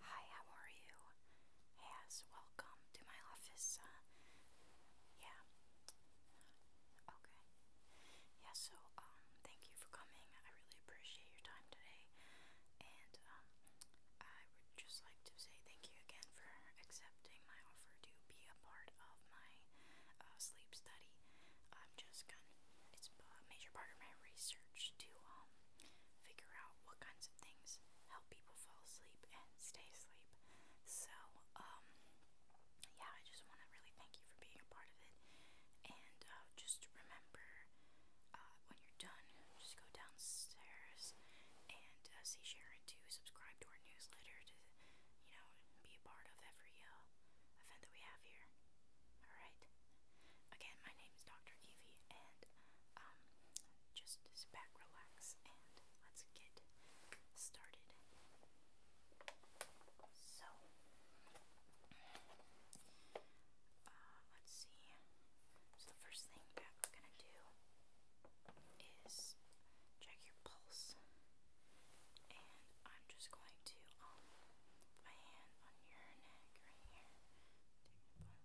Hi, how are you? Yes, welcome to my office. Uh, yeah. Okay. Yeah, so um thank you for coming. I really appreciate your time today. And um I would just like to say thank you again for accepting my offer to be a part of my uh, sleep study. I'm just gonna it's a major part of my research to um, figure out what kinds of things help people fall asleep and stay asleep. So, um, yeah, I just want to really thank you for being a part of it. And uh, just remember uh, when you're done, just go downstairs and uh, see Sharon to subscribe to our newsletter to, you know, be a part of every event that we have here. Alright. Again, my name is Dr. Evie, and um, just sit back, relax, and let's get started. So, uh, let's see. So, the first thing that we're going to do is check your pulse, and I'm just going to um, my hand on your neck right here. Okay.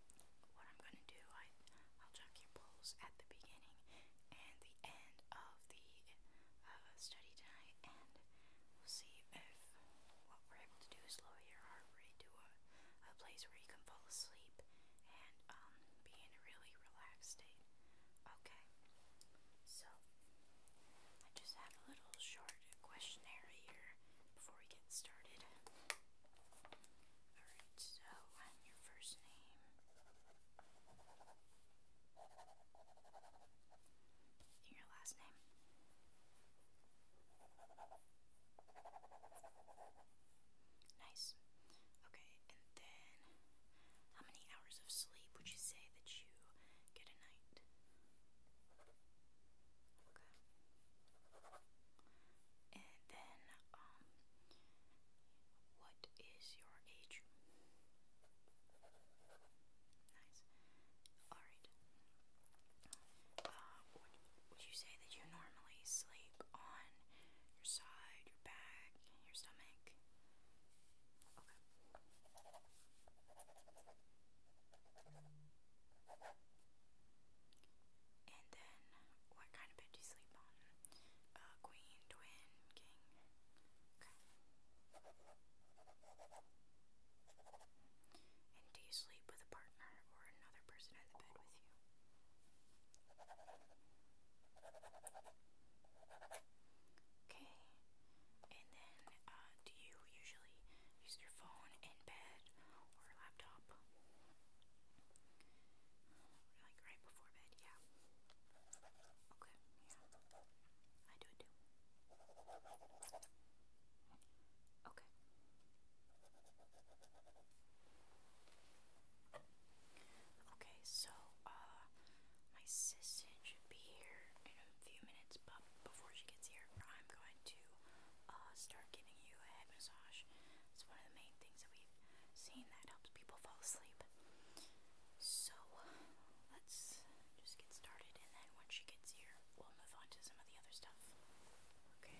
what I'm going to do, I, will check your polls at the beginning and the end of the uh, study tonight, and we'll see if what we're able to do is lower your heart rate to a, a place where you can fall asleep and um, be in a really relaxed state. Okay, so I just have a little short questionnaire here before we get started. Alright, so i your first name. your last name. Nice. Okay, and then how many hours of sleep would you say that you get a night? Okay. And then, um, what is your age? Nice. Alright. Uh, would, you say that you normally sleep on your side, your back, your stomach? And then, what kind of bed do you sleep on? Uh, queen, twin, king. Okay. And do you sleep with a partner or another person in the bed with you? Okay. And then, uh, do you usually use their phone in bed or laptop. Like right before bed, yeah. Okay, yeah. I do it too. Okay. Okay, so uh my assistant should be here in a few minutes, but before she gets here, I'm going to uh, start giving you a head massage. It's one of the main things that we've seen that helps people fall asleep. So let's just get started, and then once she gets here, we'll move on to some of the other stuff. Okay.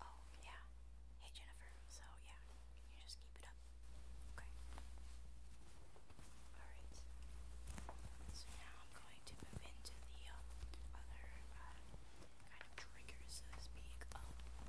Oh, yeah. Hey, Jennifer. So, yeah, you just keep it up? Okay. Alright. So now I'm going to move into the um, other uh, kind of triggers, so to speak, of um,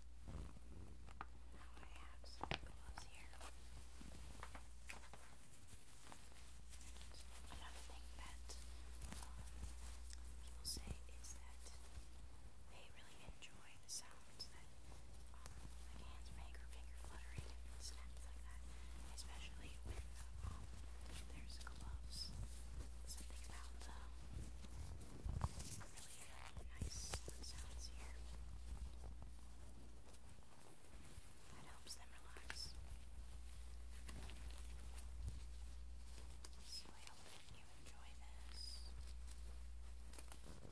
now I Another thing that people say is that they really enjoy the sounds that hands make or finger fluttering and like that, especially when there's gloves. Something about the really nice sounds here. That helps them relax. So I hope that you enjoy this. I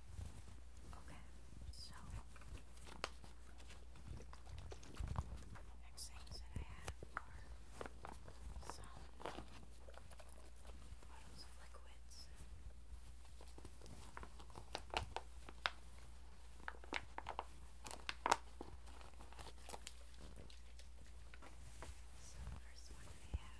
Okay, so next things that I have are some bottles of liquids. So the first one I have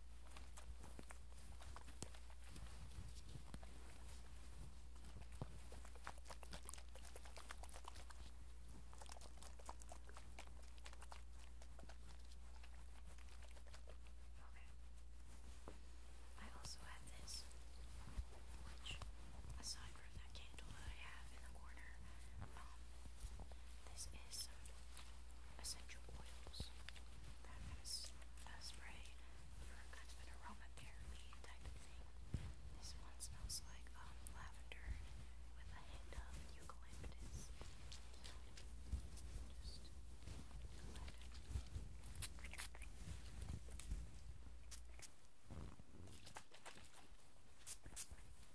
Okay. I also have this, which, aside from that candle that I have in the corner, um, this is some essential oils. That kind of uh, spray for kind of an aromatherapy type of thing. This one smells like um, lavender with a hint of eucalyptus. Just go ahead and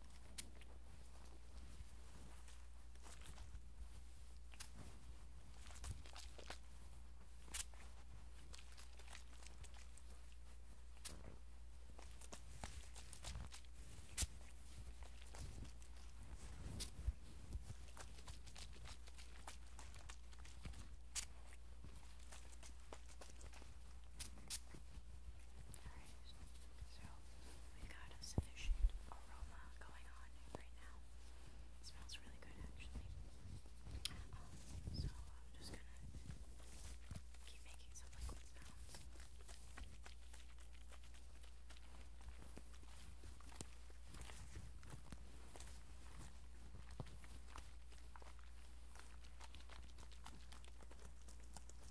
Alright, so we got a sufficient aroma going on right now. It smells really good actually. Um, so I'm just gonna keep making some liquid sounds. I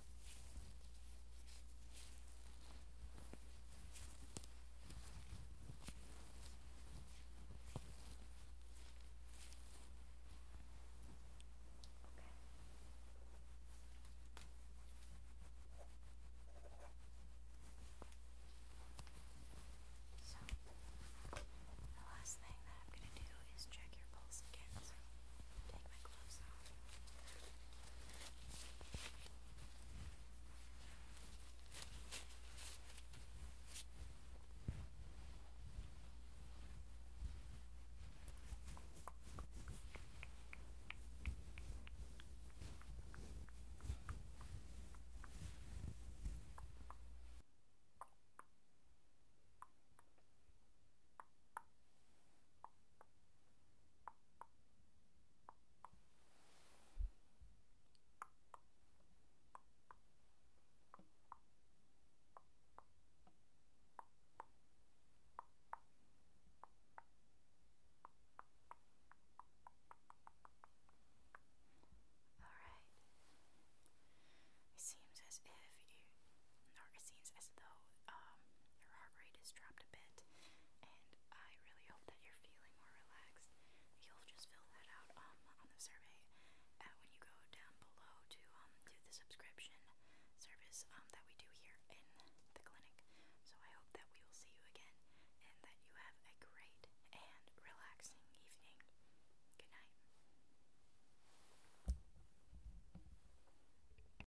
So, the last thing that I'm going to do is check your pulse again. Take my gloves off. Good. Alright. It seems as if you, or it seems as though um, your heart rate has dropped a bit, and I really hope that you're feeling more relaxed. You'll just fill that out um, on the survey uh, when you go down below to um, do the subscription service um, that we do here in the clinic. So I hope that we will see you again and that you have a great and relaxing evening. Good night.